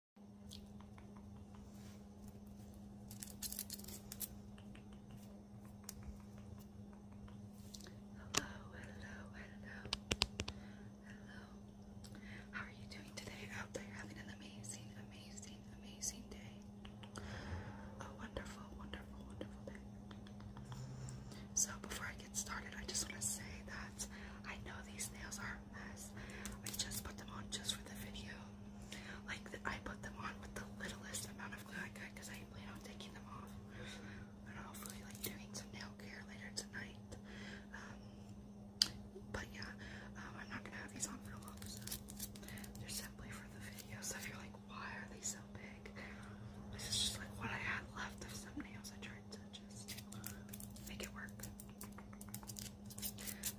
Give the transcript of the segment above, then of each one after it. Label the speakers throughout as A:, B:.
A: Hello, hello, hello, hello. How are you doing today out there? Having an amazing, amazing, amazing day. A wonderful, wonderful, wonderful day. So before I get started, I just want to say that I know these nails are I just put them on just for the video. Like, the, I put them on with the littlest amount of glue I could because I plan on taking them off. And hopefully, like, doing some nail care later tonight. Um, but yeah, um, I'm not going to have these on for long, so they're simply for the video. So if you're like, why are they so big? This is just like what I had left of some nails I tried to just make it work.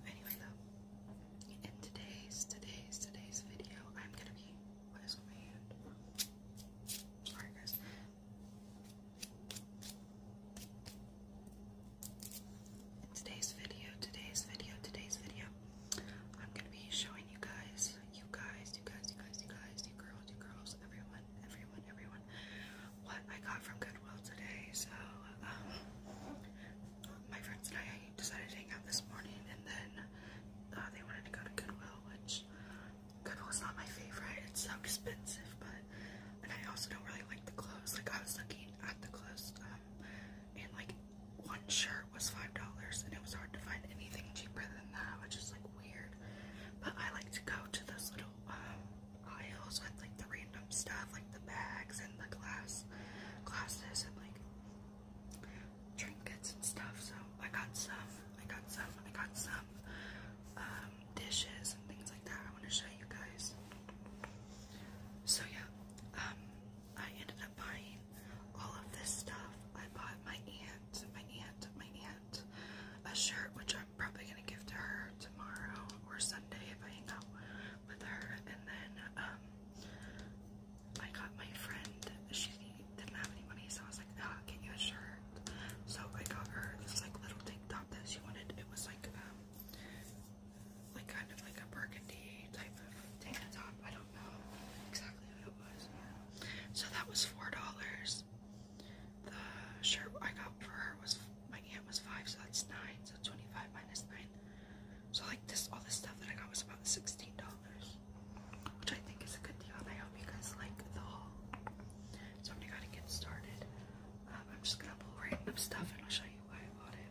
A: Anyway, though, in today's, today's, today's video, I'm gonna be. Sorry, guys. In today's video, today's video, today's video, I'm gonna be showing you guys, you guys, you guys, you guys, you guys, you girls, you girls, everyone everyone, everyone, what I got from Goodwill today. So, um, my friends and I decided to hang out this morning, and then uh, they wanted to go to Goodwill, which Goodwill's not my favorite. It's so expensive, but and I also don't really like the clothes. Like I was looking at the clothes, um, and like one shirt was five dollars, and it was hard to find anything cheaper than that, which is like weird. But I like to go to those little um aisles with like the random stuff, like the bags and the glass glasses and like trinkets and stuff. So I got some, I got some, I got some um, dishes and things like that. I want to show you guys. So yeah, um, I ended up buying all of this stuff. I bought my aunt, my aunt, my aunt a shirt, which I'm probably gonna give to her tomorrow or Sunday if I hang out with her. And then um, I got my friend. She didn't have any money, so I was like, "Ah, get you a shirt." So I got her this like little tank top that she wanted. It was like um, like kind of like a burgundy type of tank top. I don't know exactly what it was. So that was four dollars. The shirt I got for her was my aunt was five, so that's nine. So twenty-five minus nine. So like this, all this stuff that I got was about sixteen dollars, which I think is a good deal. I hope you guys like the haul. So I'm gonna get started. Um, I'm just gonna pull random stuff, and I'll show you why I bought it.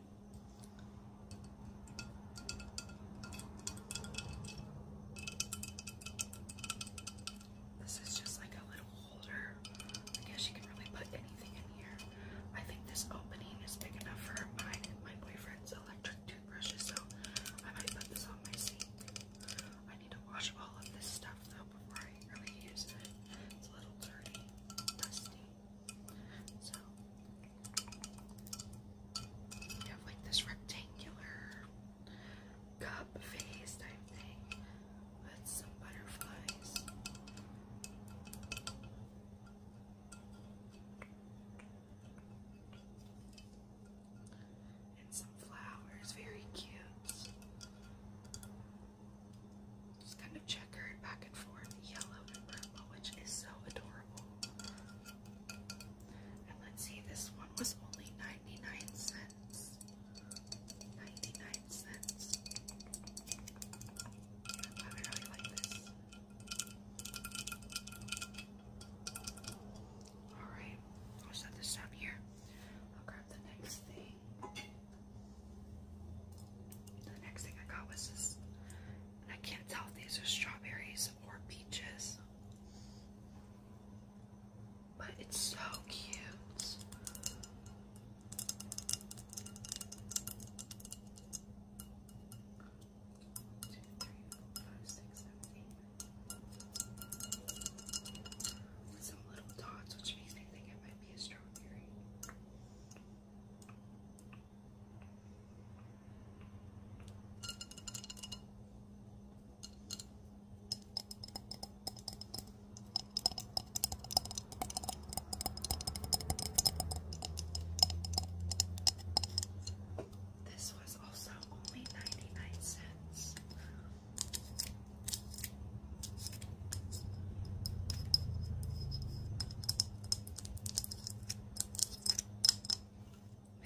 A: This is just like a little holder. I guess you can really put anything in here. I think this opening is big enough for my my boyfriend's electric toothbrushes, so I might put this on my sink. I need to wash all of this stuff though before I really use it. It's a little dirty, dusty. So you have like this rectangular cup face type thing with some butterflies. And some flowers, very cute. Just kind of checkered back and forth, yellow and purple, which is so adorable. And let's see, this one was only 9 99 cents. 99 cents. I really like this. Alright, I'll set this down here. I'll grab the next thing. The next thing I got was this. I can't tell if these are strawberries or peaches. But it's so cute. Some little dots, which makes me think it might be a strawberry. This was also only 99 cents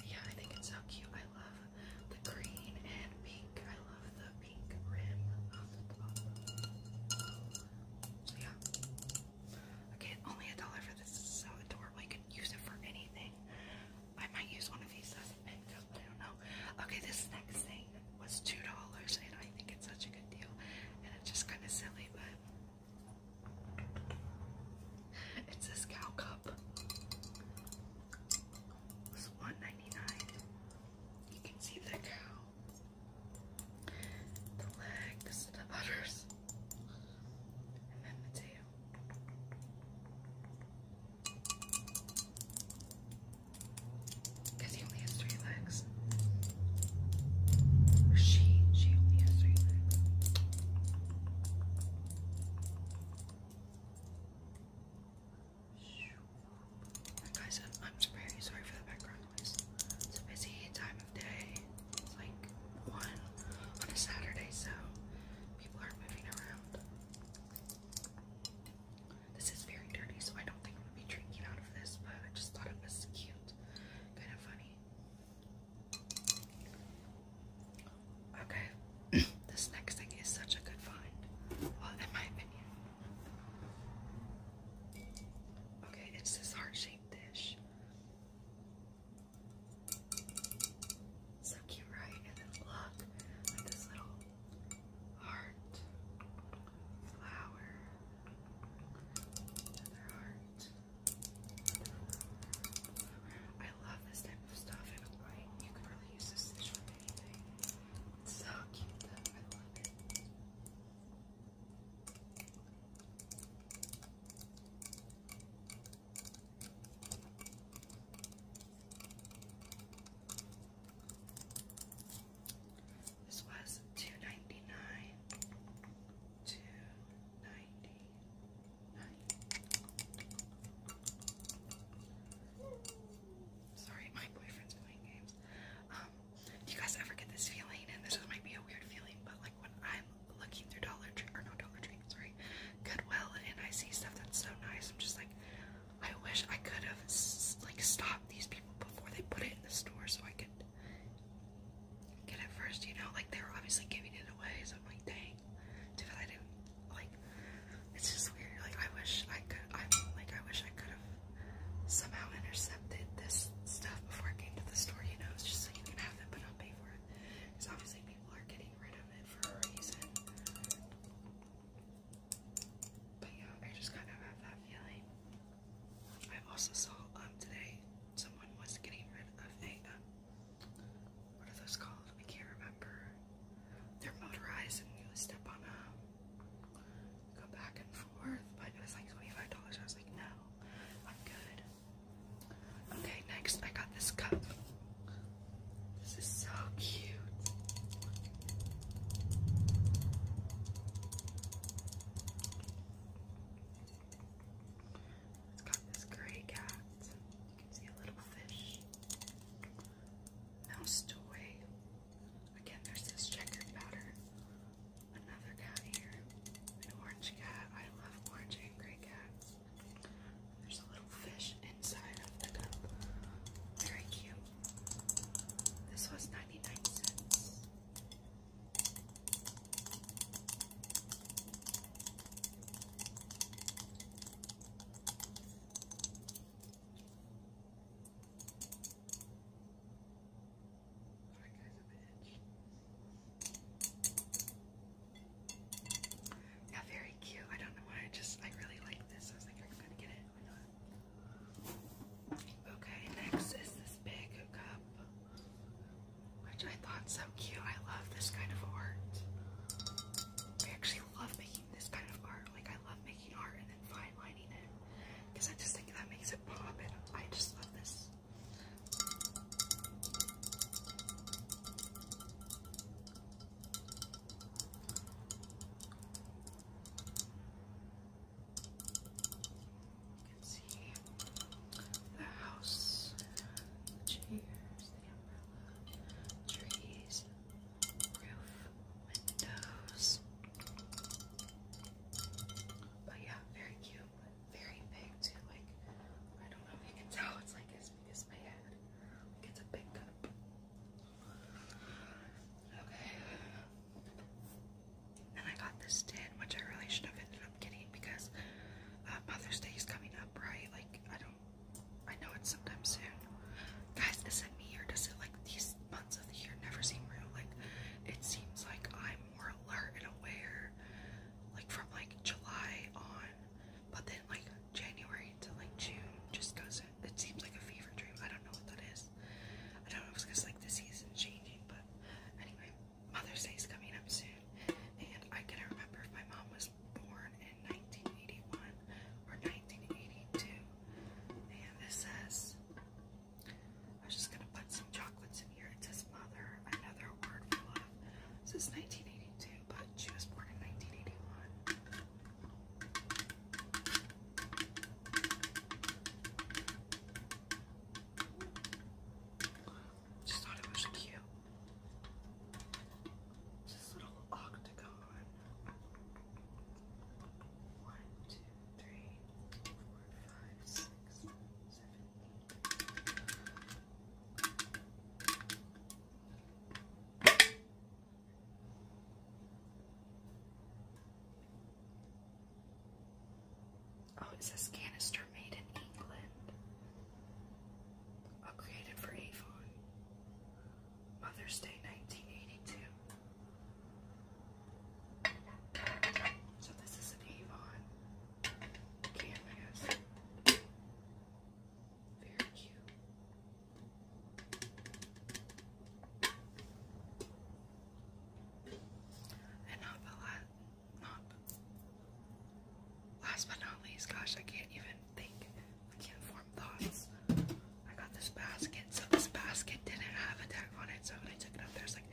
A: yeah, I think it's so cute. I love the green and pink. I love the pink rim yeah. Okay, only a dollar for this. so adorable. I can use it for anything. I might use one of these as a makeup. I don't know. Okay, this next thing was two dollars, and I think it's such a good deal. And it's just kind of silly, but it's a cow cup. It's one ninety nine. You can see the cow, the legs, the udders, and then the tail. Because he only has three legs. she, she only has three legs. Guys, I'm, very sorry for the background noise. It's a busy time of day. It's like one on a Saturday, so people are moving around. This is very dirty, so I don't think I'm gonna be drinking out of this, but I just thought it was cute, kind of funny. Okay, this next thing is such a good find. Well, in my opinion. Okay, it's this heart-shaped dish. So cute, right? And then look at this little heart flower. Another heart. I love this type of stuff, you can really use this with anything. so cute, I love it. This was two ninety nine to Sorry, my boyfriend's playing games. Um, do you guys ever get this feeling? And this might be a weird feeling, but like when I'm looking through Dollar Tree or no Dollar Tree, sorry, Goodwill, and I see stuff that's so nice, I'm just like, I wish I could have like stopped these people before they put it in the store so I could get first, you know? Like, they were obviously giving it away, so I'm like, dang. Too I didn't, like, it's just weird. Like, I wish I could, I like, I wish I could have somehow intercepted this stuff before it came to the store, you know? just so you can have it, but not pay Because obviously people are getting rid of it for a reason. But yeah, I just kind of have that feeling. I also saw um, today someone was getting rid of a um, what are those called? I can't remember. They're motorized and you just step on them, go back and forth. But it was like twenty-five dollars. I was like, no, I'm good. Okay, next I got this cup. This is so cute. It's got this gray cat. You can see a little fish. Mouse toy. Again, there's this checkered pattern. Another cat here. An orange cat. I love orange and gray cats. there's a little fish inside of the cup. Very cute. This was 99 cents. Yeah, very cute. I don't know why. I just I really like this. I was like, I'm gonna get it. Okay, next is this big cup, which I thought so cute. I love this kind of art. I actually love making this kind of art. Like I love making art and then fine lining it, because I just think that makes it pop, and I just love this. You can see the house, the chairs, the umbrella, trees, roof, windows. But yeah, very cute, very big too. Like, I don't know if you can tell, it's like as big as my head. Like, it's a big cup. Okay, and I got this tin, which I really should have ended up getting because uh, Mother's Day is coming up, right? Like, I don't, I know it's sometime soon. Guys, is it me or does it like these months of the year never seem real? Like, it seems like I'm more alert and aware, like from like July on, but then like January to like June just goes, it seems like a fever dream. I don't know what that is. I don't know if it's because like the season's changing, but anyway, Mother's Day is coming up soon, and I couldn't remember if my mom was born in 1981 or 1982. And this says, I am just gonna put some chocolates in here. It says Mother, another word for love. It says 1982, but she was born in 1981. Just thought it was cute. This little octagon. One, two, three, four, five, six, seven, eight. Oh, it says canister made in England. Oh, created for Avon. Mother's Day 1982. So this is an Avon canvas. Very cute. And not the last, not last but not least, gosh, I can't even think. I can't form thoughts. I got this basket, so this basket didn't have a tag on it, so when I took it up there, I was like,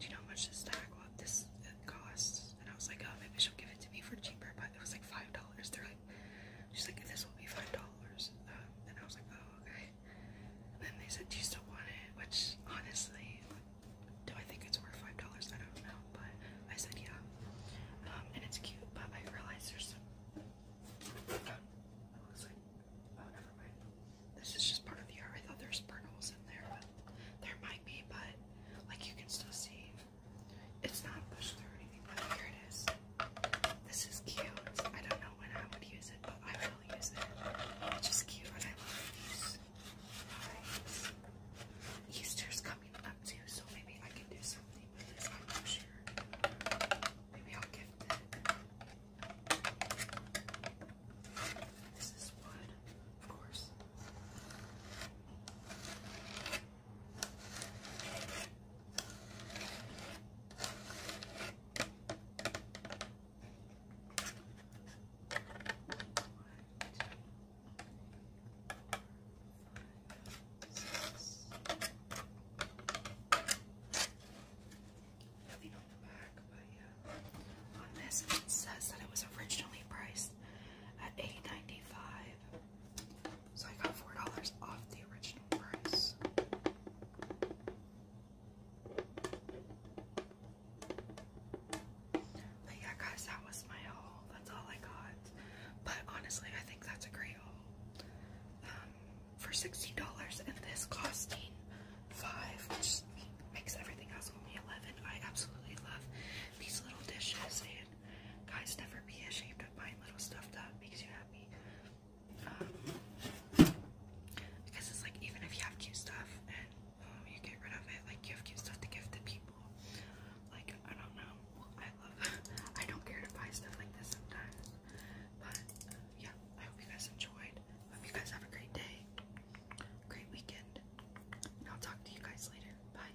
A: do you know how much this tag, well, this costs? And I was like, oh, maybe she'll give it to me for cheaper, but it was like $5. They're like, she's like, this will be five dollars. Um, and I was like, oh, okay. And then they said, do you still want it? Which, honestly, do I think it's worth five dollars? I don't know, but I said, yeah. Um, and it's cute, but I realized there's some. It like, oh, never mind. This is just part of the art. I thought there's burn holes in there, but there might be, but like you can still see. It's not this through here it is. This is cute. I don't know when I would use it, but I will use it. It's just cute, I love these. Easter's coming up too, so maybe I can do something with this. I'm not sure. Maybe I'll give. it. This is wood, of course. Nothing on the back, but yeah. On this, it says that it was originally priced at 8 so I got four dollars off the original price. But yeah, guys, that was my haul. That's all I got. But honestly, I think that's a great haul. Um, for sixty dollars, and this costing five, which makes everything else only eleven. I absolutely love these little dishes Guys, never be ashamed of buying little stuff that makes you happy. Um, because it's like, even if you have cute stuff and um, you get rid of it, like you have cute stuff to give to people. Like, I don't know. I love I don't care to buy stuff like this sometimes. But yeah, I hope you guys enjoyed. Hope you guys have a great day. Great weekend. And I'll talk to you guys later. Bye.